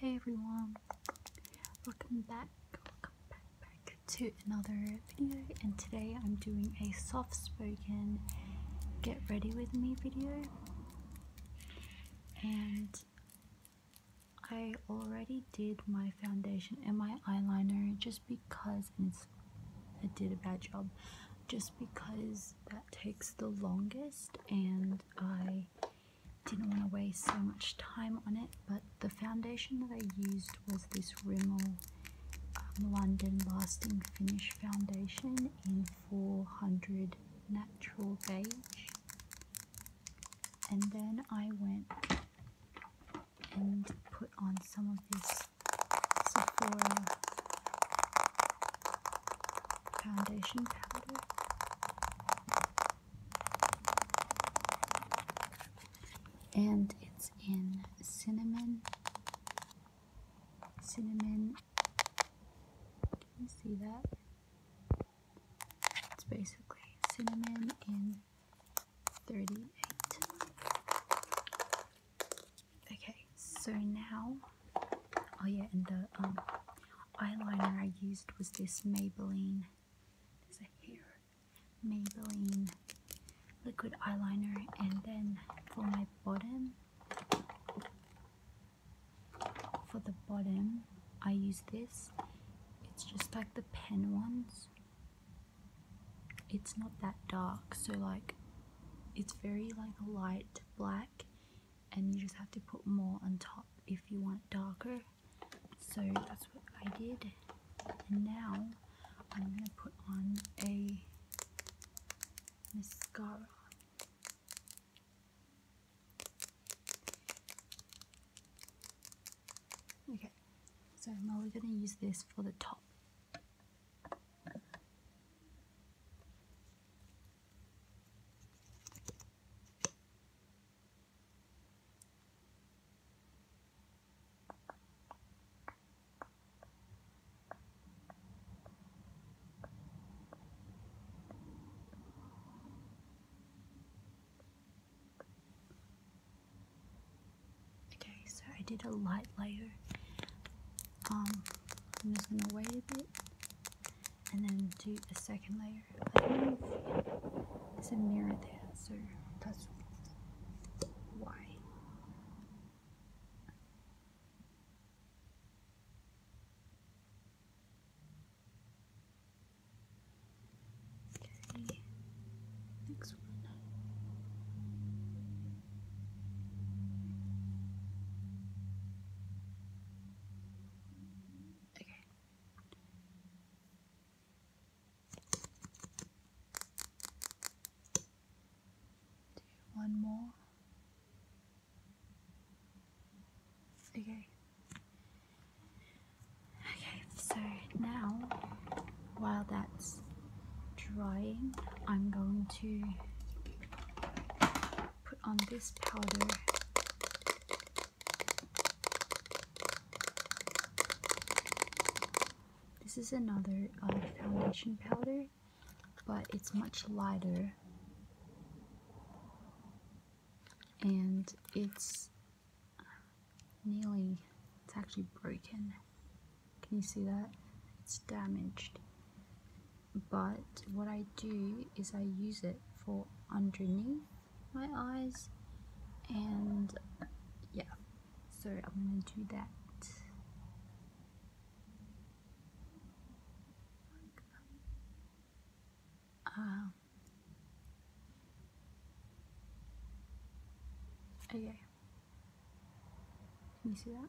Hey everyone, welcome back, welcome back, to another video and today I'm doing a soft spoken get ready with me video and I already did my foundation and my eyeliner just because I did a bad job just because that takes the longest and I didn't want to waste so much time on it, but the foundation that I used was this Rimmel um, London Lasting Finish Foundation in 400 Natural Beige. And then I went and put on some of this Sephora foundation powder. And it's in cinnamon. Cinnamon. see that? It's basically cinnamon in 38. Okay, so now. Oh, yeah, and the um, eyeliner I used was this Maybelline. There's Maybelline liquid eyeliner. And then for my bottom, for the bottom, I use this. It's just like the pen ones. It's not that dark, so like it's very like light black and you just have to put more on top if you want it darker so that's what I did and now I'm gonna put on a mascara okay so now we're gonna use this for the top Okay, so I did a light layer. Um, I'm just gonna wait a bit and then do the second layer. I It's a mirror there, so that's why. Okay, next one. Okay, one more. Okay. Okay, so now while that's drying, I'm going to put on this powder. This is another uh, foundation powder, but it's much lighter and it's nearly, it's actually broken. Can you see that? It's damaged but what I do is I use it for underneath my eyes and yeah so I'm gonna do that um, okay can you see that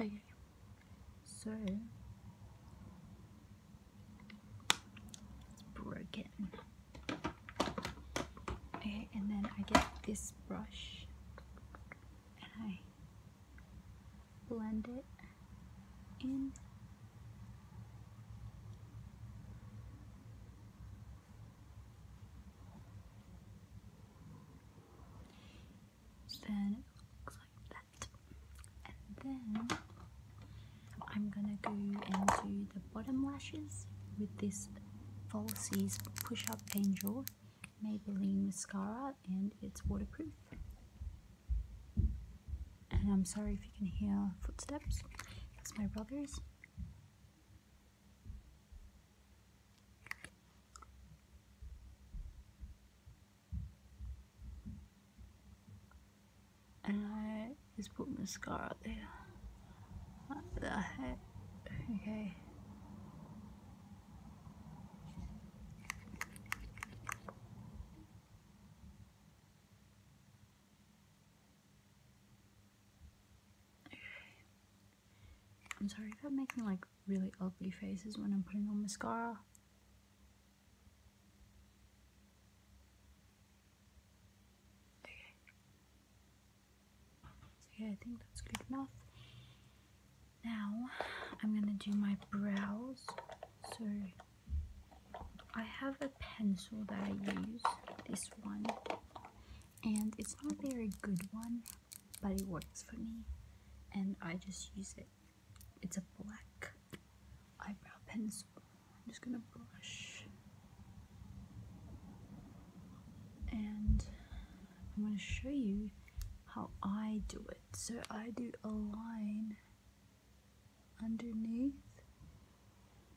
Okay, so it's broken. Okay, and then I get this brush and I blend it in then it looks like that and then I'm gonna go into the bottom lashes with this Falsies Push Up Angel Maybelline mascara and it's waterproof and I'm sorry if you can hear footsteps it's my brother's and I just put mascara there. Like that. Okay. I'm sorry if making like really ugly faces when I'm putting on mascara. Okay, I think that's good enough. Now I'm gonna do my brows. So I have a pencil that I use, this one, and it's not very good one but it works for me and I just use it. It's a black eyebrow pencil. I'm just gonna brush and I'm gonna show you how I do it. So I do a line underneath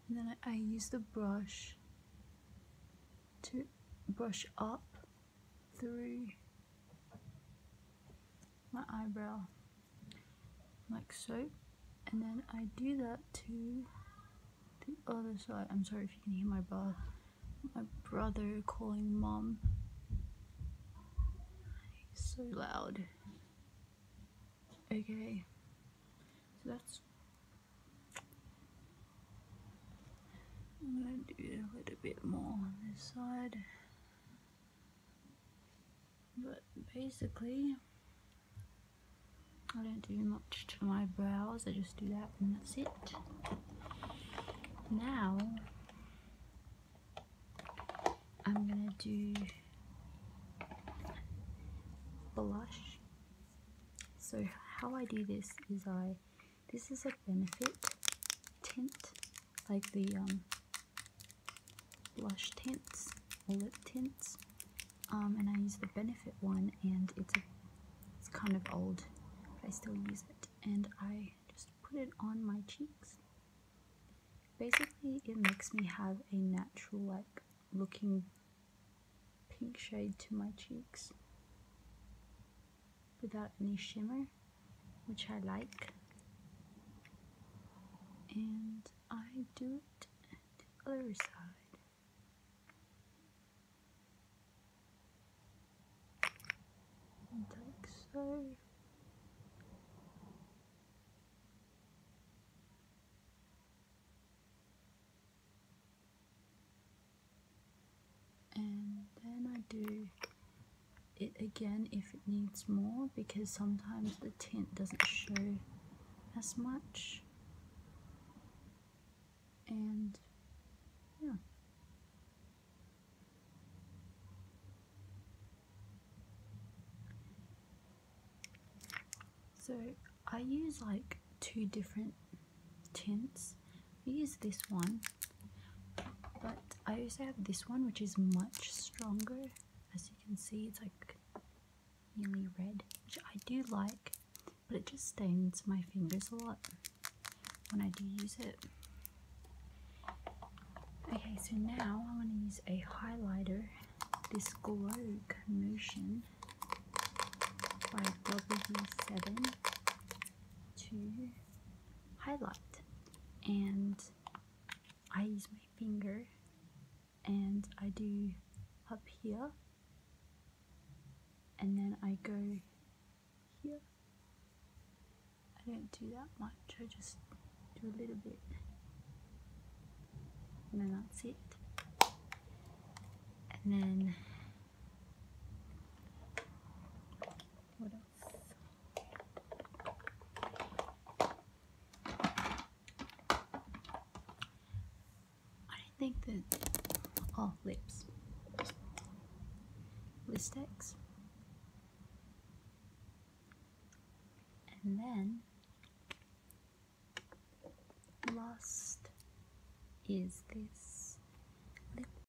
and then I, use the brush to brush up through my eyebrow like so and then I do that to the other side I'm sorry if you can hear my brother calling mom so loud okay so that's I'm going to do a little bit more on this side. But basically, I don't do much to my brows, I just do that and that's it. Now, I'm going to do blush. So how I do this is I this is a Benefit tint, like the um, blush tints or lip tints. Um, and I use the Benefit one, and it's it's kind of old, but I still use it. And I just put it on my cheeks. Basically, it makes me have a natural, like, looking pink shade to my cheeks without any shimmer, which I like. And I do it the other side. like so and then I do it again if it needs more because sometimes the tint doesn't show as much and yeah so I use like two different tints I use this one, but I also have this one which is much stronger. As you can see, it's like really red, which I do like, but it just stains my fingers a lot when I do use it. Okay, so now I am going to use a highlighter, this Glow Motion by W7 to highlight and I use my finger and I do up here and then I go here I don't do that much I just do a little bit and then that's it and then what else I think that all oh, lips, listex, and then last is this lip